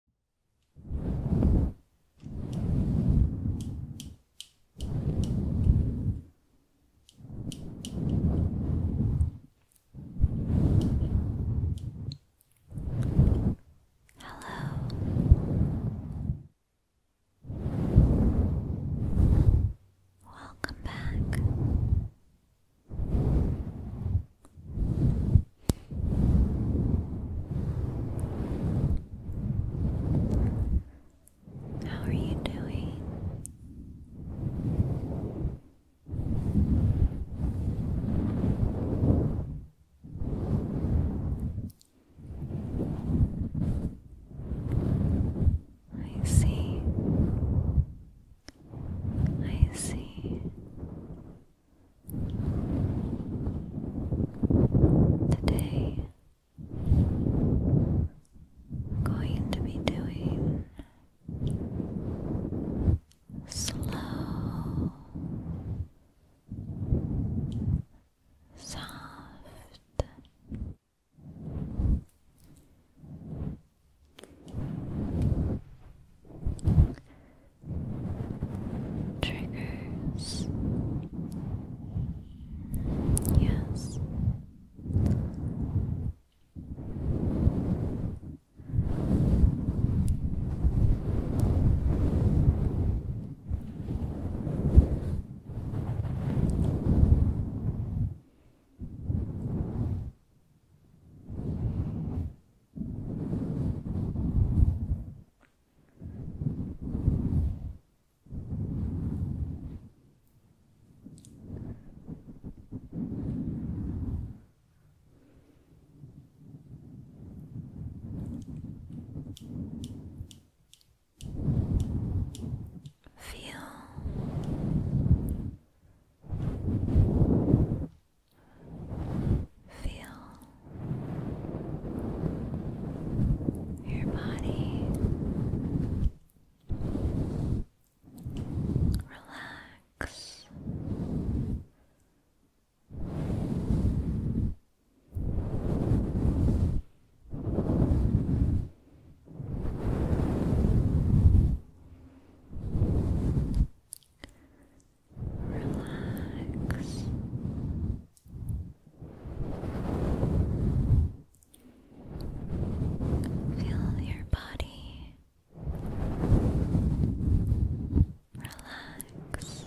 Hello. Welcome back. How are you doing? I see. I see. Today, going to be doing slow, soft triggers. Yes. Feel Feel your body relax relax. Feel your body relax.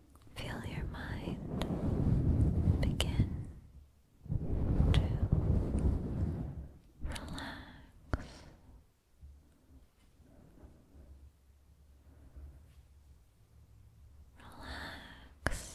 Feel your mind begin to relax. Relax. Relax.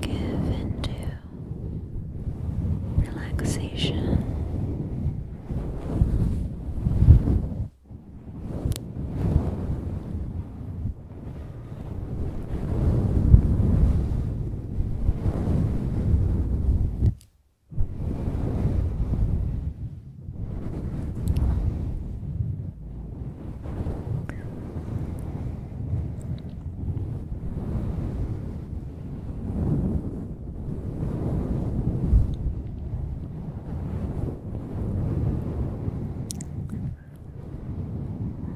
Give into relaxation.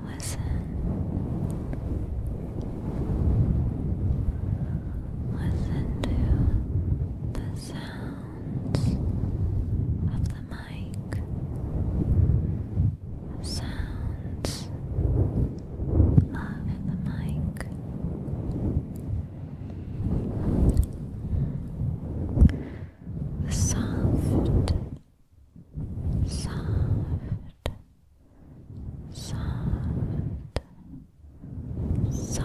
Listen Listen to the sounds of the mic, sounds of the mic. soft, soft soft, soft,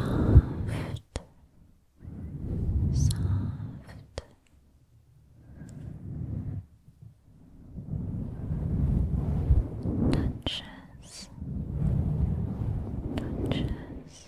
soft. Touches, touches.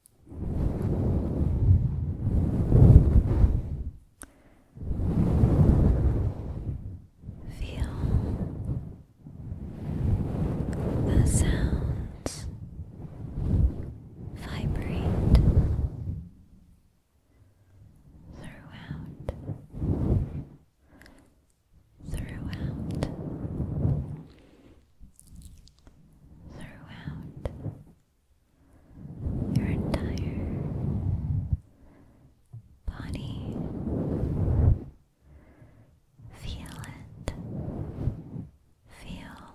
Feel the sounds vibrate throughout, throughout throughout your entire body. Feel it. Feel. Feel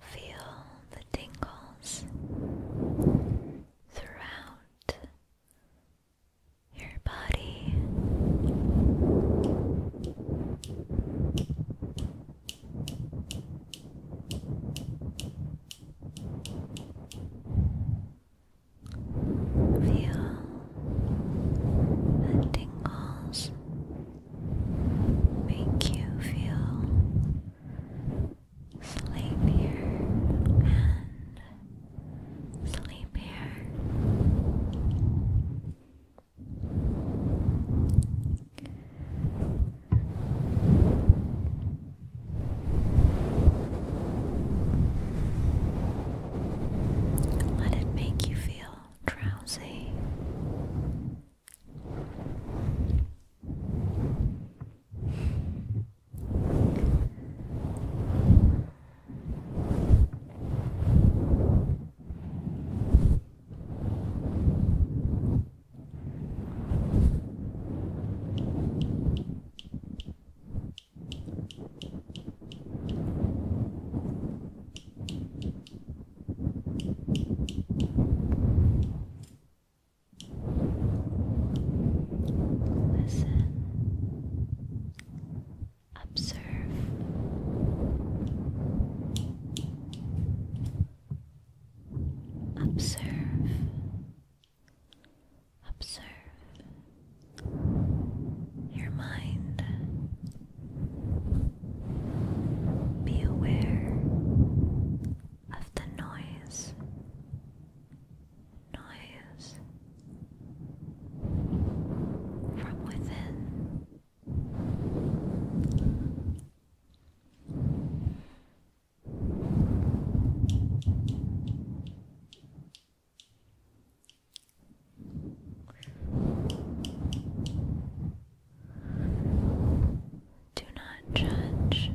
Feel the tingles throughout your body. Feel the tingles make you feel sleepier and sleepier. Let it make you feel drowsy. Listen, observe. Observe, observe your mind. Be aware of the noise, noise from within. Do not judge,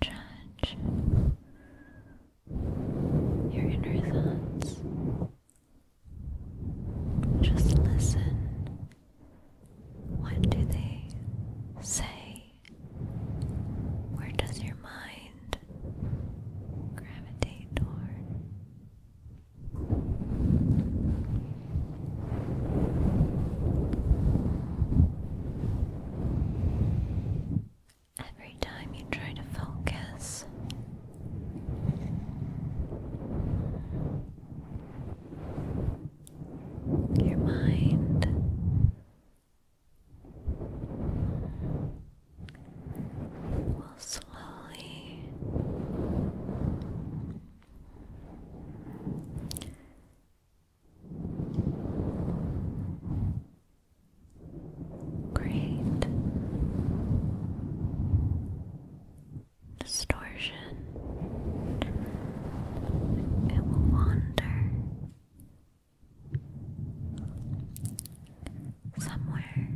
judge your inner thoughts. Just listen. What do they say? Where does your mind gravitate toward? Every time you try to focus your mind will slowly Great distortion. It will wander somewhere.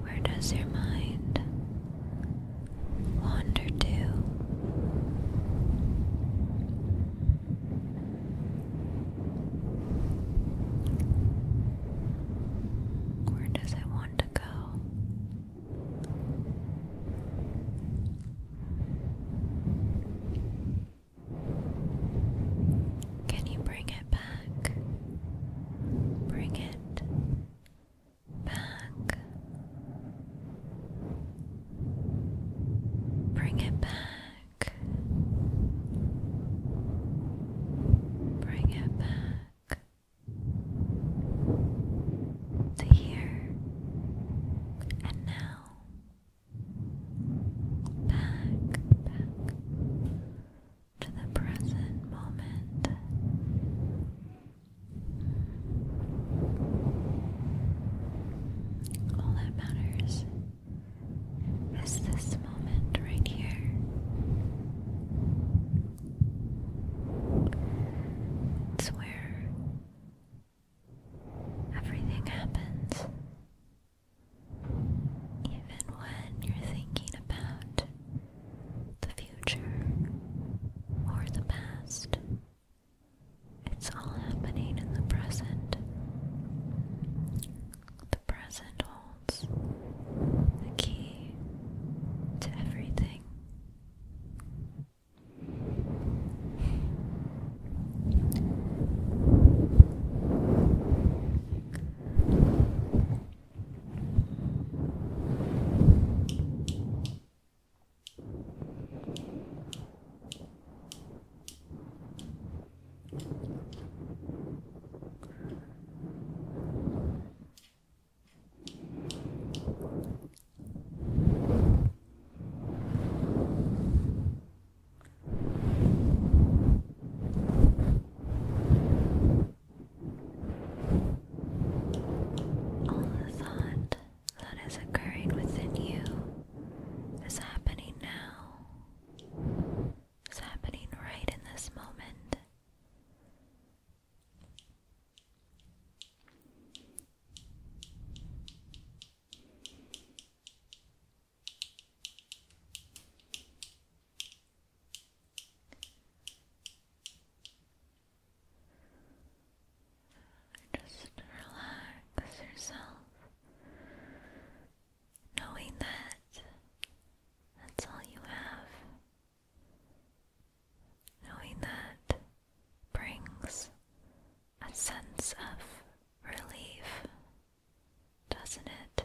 Where does your mind wander to? Where does it want to go? Can you bring it back? Bring it back. Bring it back. Bring it back to here and now. Back, back to the present moment. All that matters is this moment right here. It's where everything happens. Even when you're thinking about the future or the past, it's all happening in the present. The present holds key to everything. All of that that is occurring within you is happening now, is happening right in this moment. Just relax yourself, knowing that that's all you have, knowing that brings a sense of relief, doesn't it?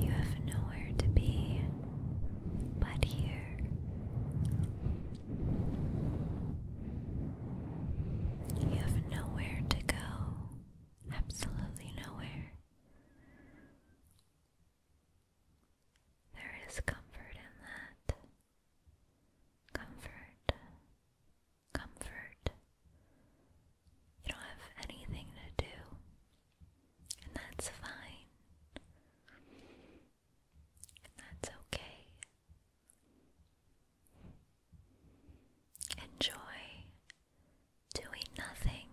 You have nowhere to be but here. You have nowhere to go, absolutely nowhere. There is comfort in that. Comfort, comfort. You don't have anything to do, and that's fine. that's okay. Enjoy doing nothing.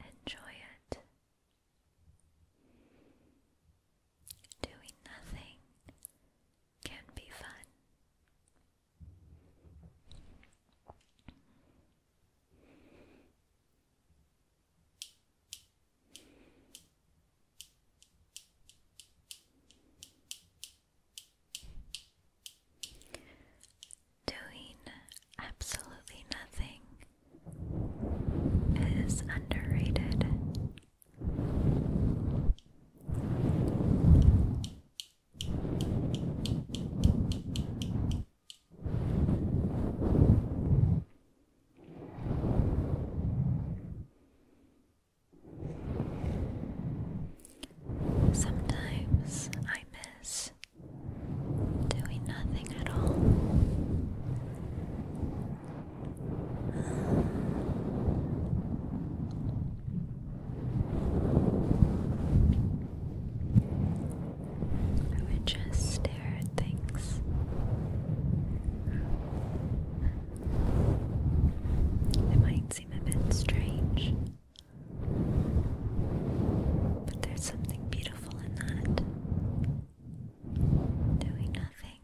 Enjoy it. Doing nothing can be fun. Doing absolutely nothing is underrated. Sometimes I miss doing nothing at all. I would just stare at things. It might seem a bit strange, but there's something beautiful in that doing nothing.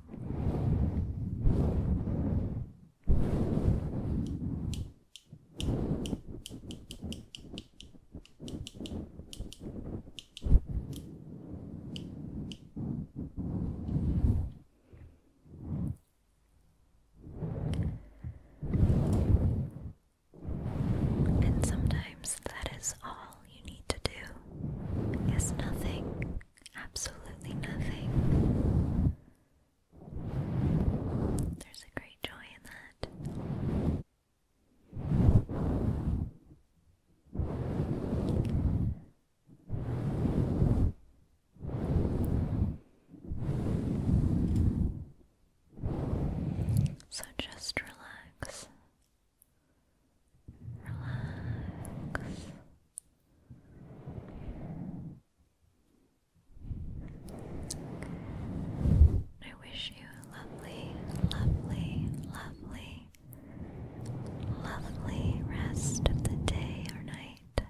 And sometimes that is all you need to do is nothing, absolutely nothing. There's a great joy in that. So just relax Relax. I wish you a lovely, lovely, lovely, lovely rest of the day or night.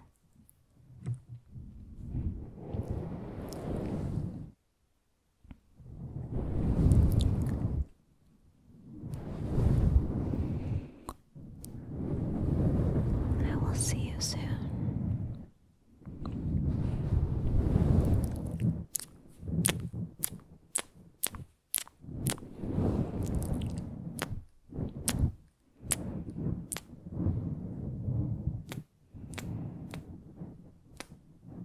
I will see you soon.